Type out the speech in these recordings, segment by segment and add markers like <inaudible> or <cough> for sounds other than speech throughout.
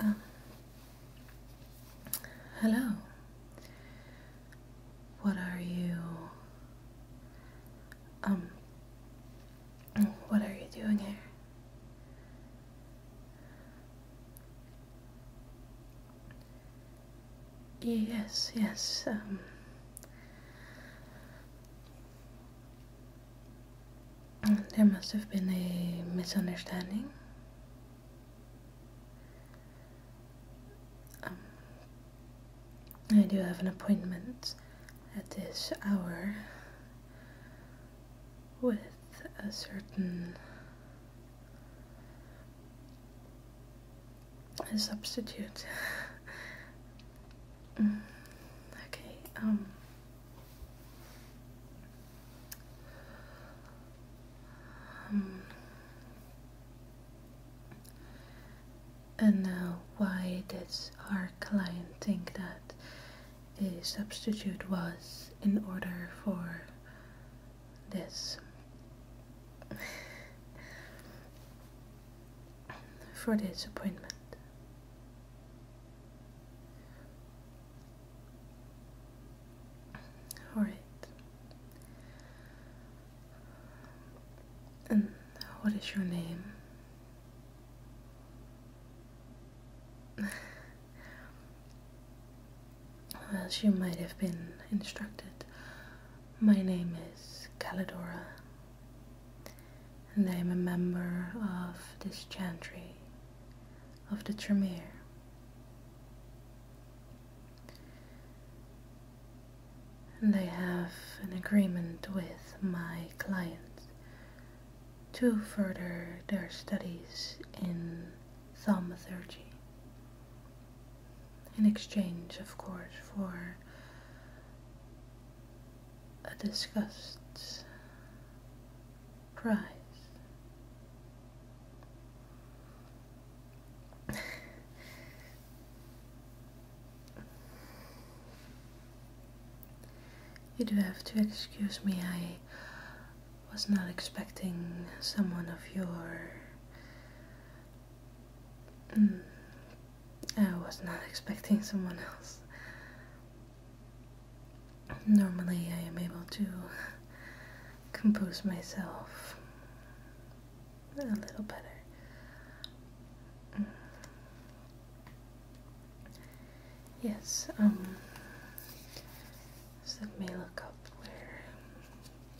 Um, hello. What are you? Um, what are you doing here? Yes, yes, um. There must have been a misunderstanding. Um, I do have an appointment at this hour with a certain a substitute. <laughs> Mm, okay, um. um. and now, why did our client think that a substitute was in order for this? <laughs> for this appointment. All right. And what is your name? <laughs> well, you might have been instructed, my name is Calidora, and I am a member of this chantry of the Tremere. And I have an agreement with my clients to further their studies in thaumaturgy in exchange, of course, for a discussed prize. you do have to excuse me, I was not expecting someone of your Mm. I was not expecting someone else. Normally, I am able to compose myself a little better. Yes, um, let me look up where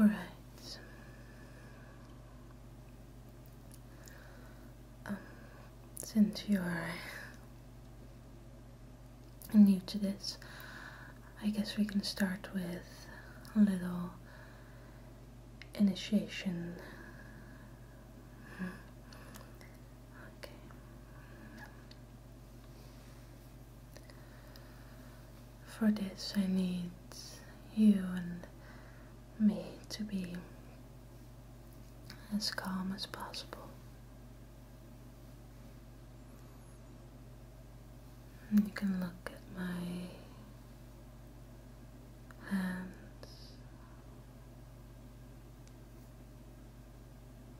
All right. Um, since you are new to this, I guess we can start with a little initiation. Hmm. Okay. For this, I need you and me to be as calm as possible. you can look at my hands.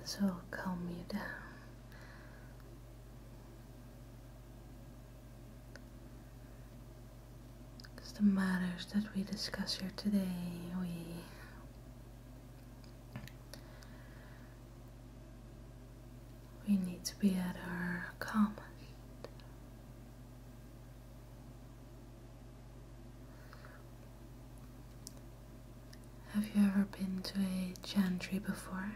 This will calm you down. the matters that we discuss here today, we we need to be at our calmest. Have you ever been to a chantry before?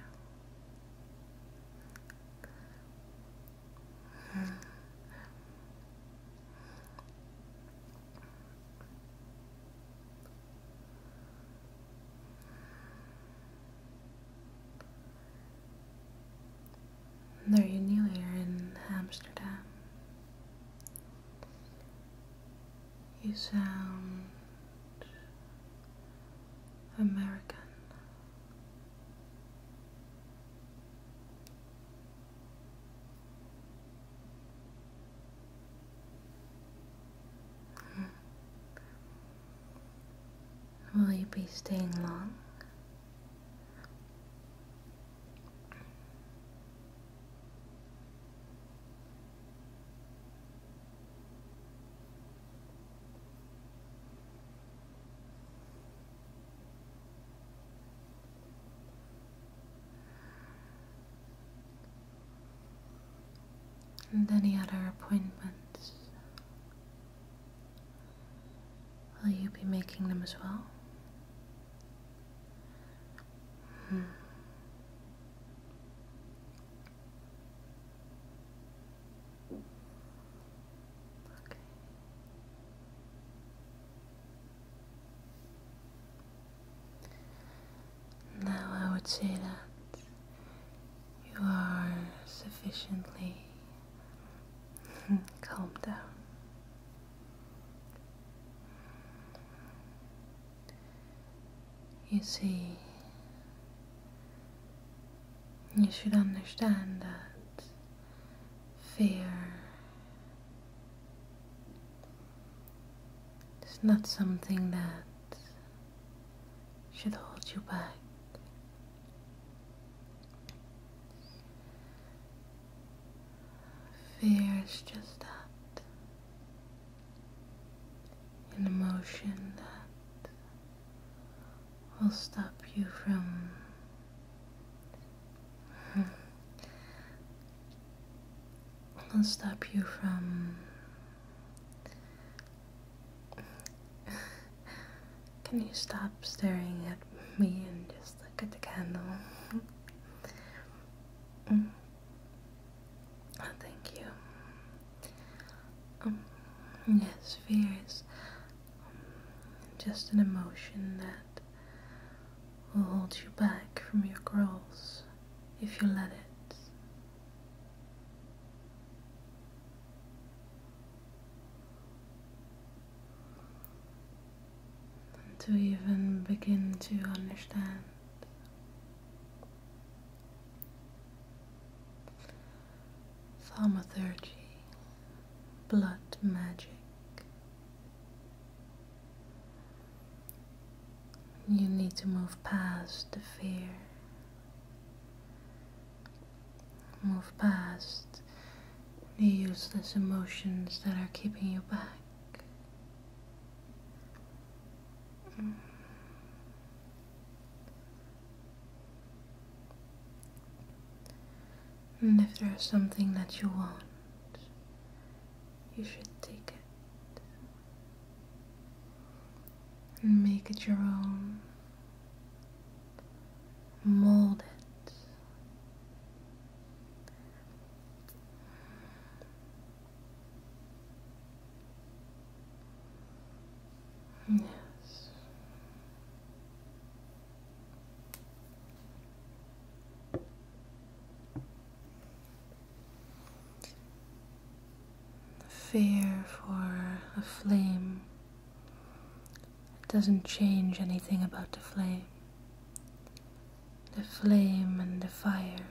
you union here in Amsterdam. You sound American. Will you be staying long? And any other appointments Will you be making them as well? Hmm. Now I would say that you are sufficiently Hmm, calm down. You see, you should understand that fear is not something that should hold you back. Fear is just that an emotion that will stop you from <laughs> will stop you from can you stop staring at me and just look at the candle? mm. Oh, thank you. Um, yes, fear is um, just an emotion that will hold you back from your goals if you let it to even begin to understand thaumaturgy, blood magic. You need to move past the fear Move past the useless emotions that are keeping you back. And if there's something that you want, you should take it and make it your own. Mold it. Yes fear for a flame it doesn't change anything about the flame. The flame and the fire,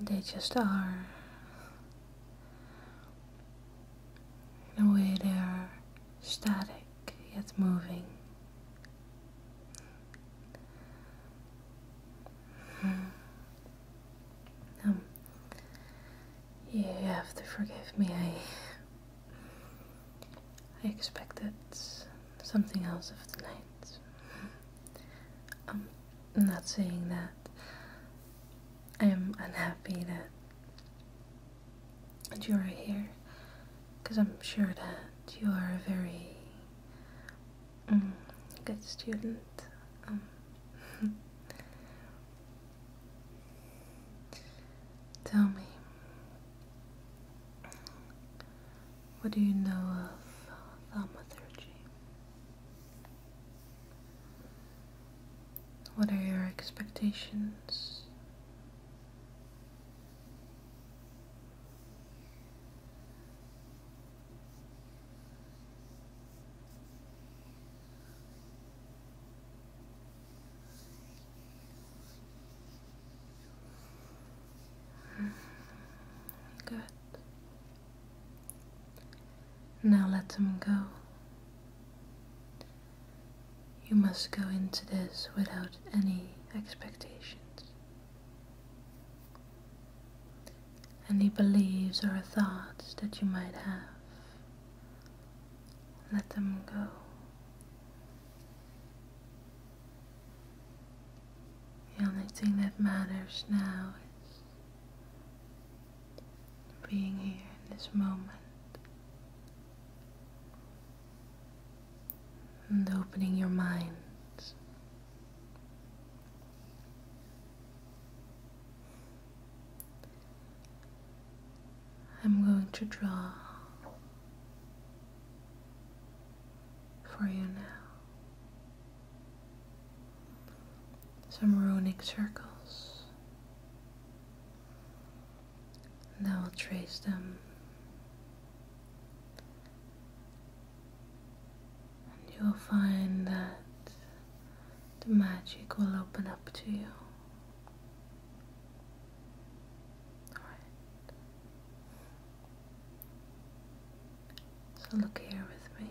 they just are. In a way, they are static yet moving. Hmm. Um, you have to forgive me. I I expected something else of the night. Um, I'm not saying that. I am unhappy that that you are here, because I'm sure that you are a very mm, good student um, <laughs> tell me what do you know of thaumaturgy? What are your expectations? Good. Now let them go. You must go into this without any expectations. Any beliefs or thoughts that you might have, let them go. The only thing that matters now is being here in this moment and opening your mind I'm going to draw for you now some runic circles, and I will trace them and you will find that the magic will open up to you. So look here with me.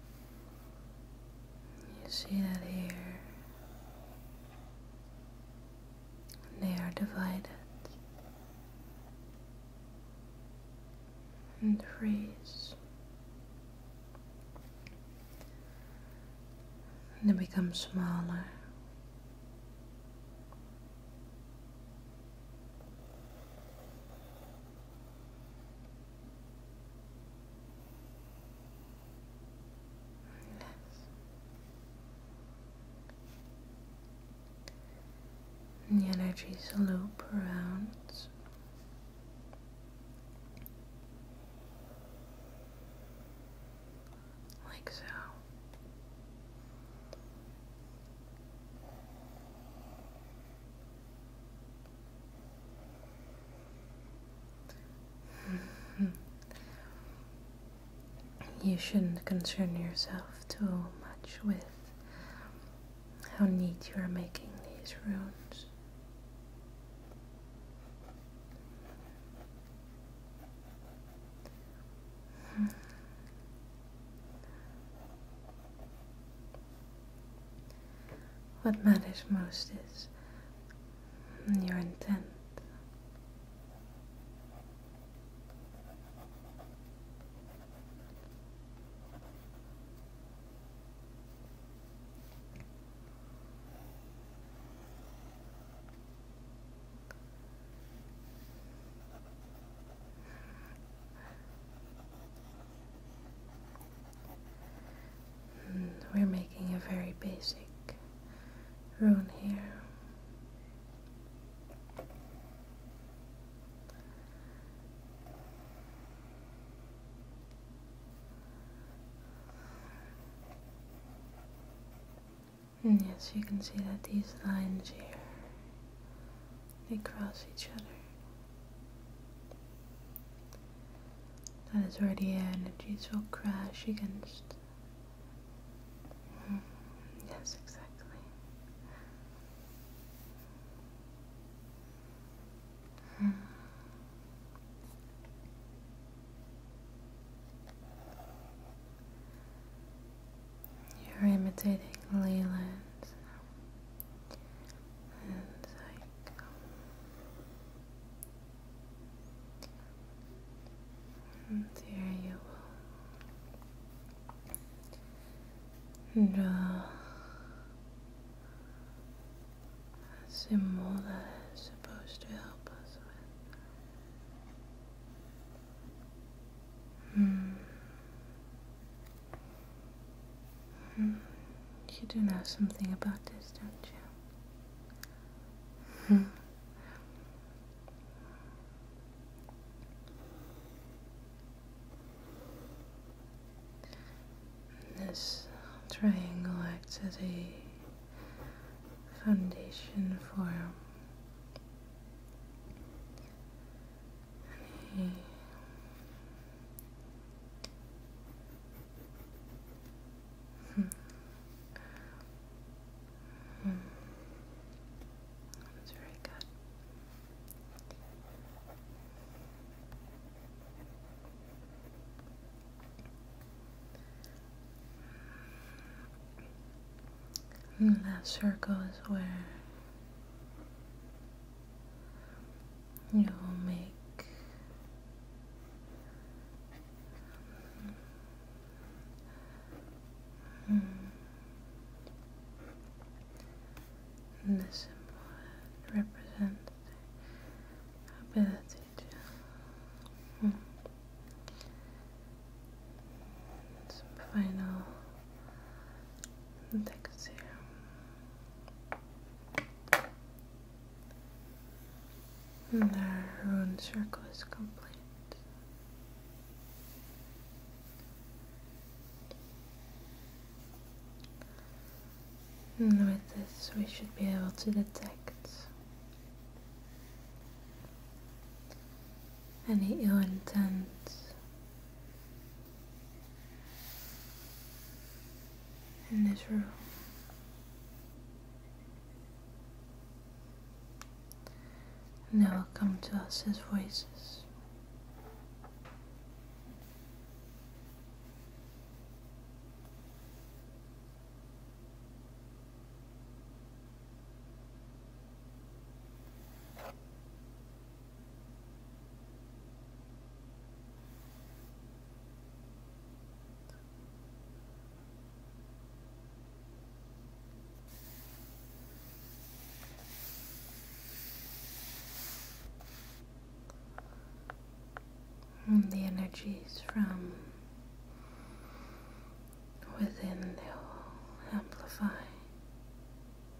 You see that here they are divided and freeze. And they become smaller the energies loop around. Like so. <sighs> You shouldn't concern yourself too much with how neat you are making these runes. What matters most is your intent. Hmm, we're making a very basic rune here. Hmm, yes, you can see that these lines here, they cross each other. That is where the energies will crash against. Mm, yes, exactly. Mm. You're imitating Leland and like and here you will draw a symbol that is supposed to help us with. Mm. Hmm. you do know something about this, don't you? Hmm. this triangle acts as a foundation for that's very good. Hmm, that circle is where You'll make mm. and this symbol represents the ability to mm. some final text and their rune circle is complete. with this, we should be able to detect any ill intent in this room. And they will come to us as voices the energies from within they'll amplify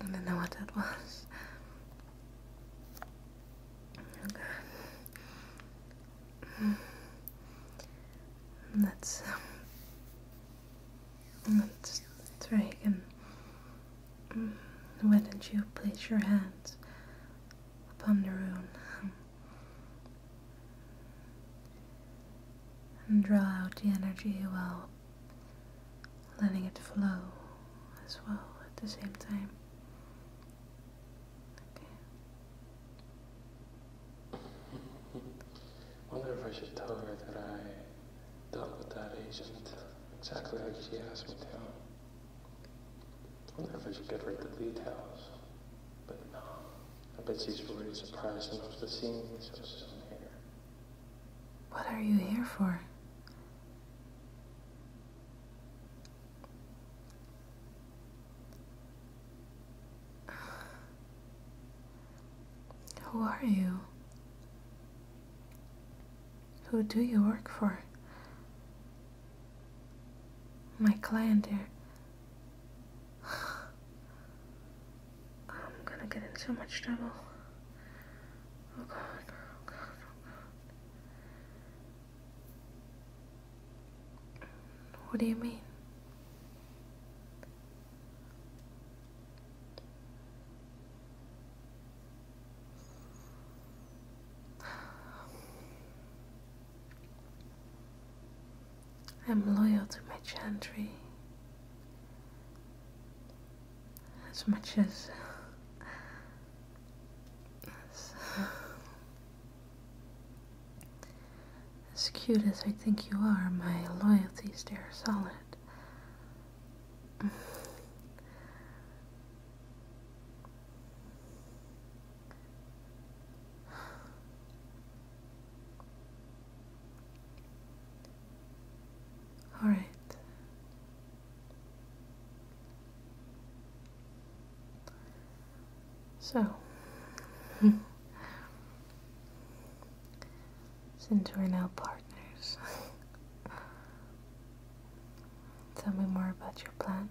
I don't know what that was. Okay. Let's, um, let's try again. you place your hands upon the rune and draw out the energy while letting it flow as well at the same time. Wonder if I should tell her that I dealt with that agent exactly as she asked me to. Wonder if I should give her the details, but no. I bet she's already surprised enough to see me so soon here. What are you here for? Who are you? Who do you work for? My client dear. I'm gonna get in so much trouble. Oh oh oh what do you mean? I'm loyal to my chantry as much as, as, as cute as I think you are, my loyalties there solid. All right. So, <laughs> since we're now partners, <laughs> tell me more about your plan.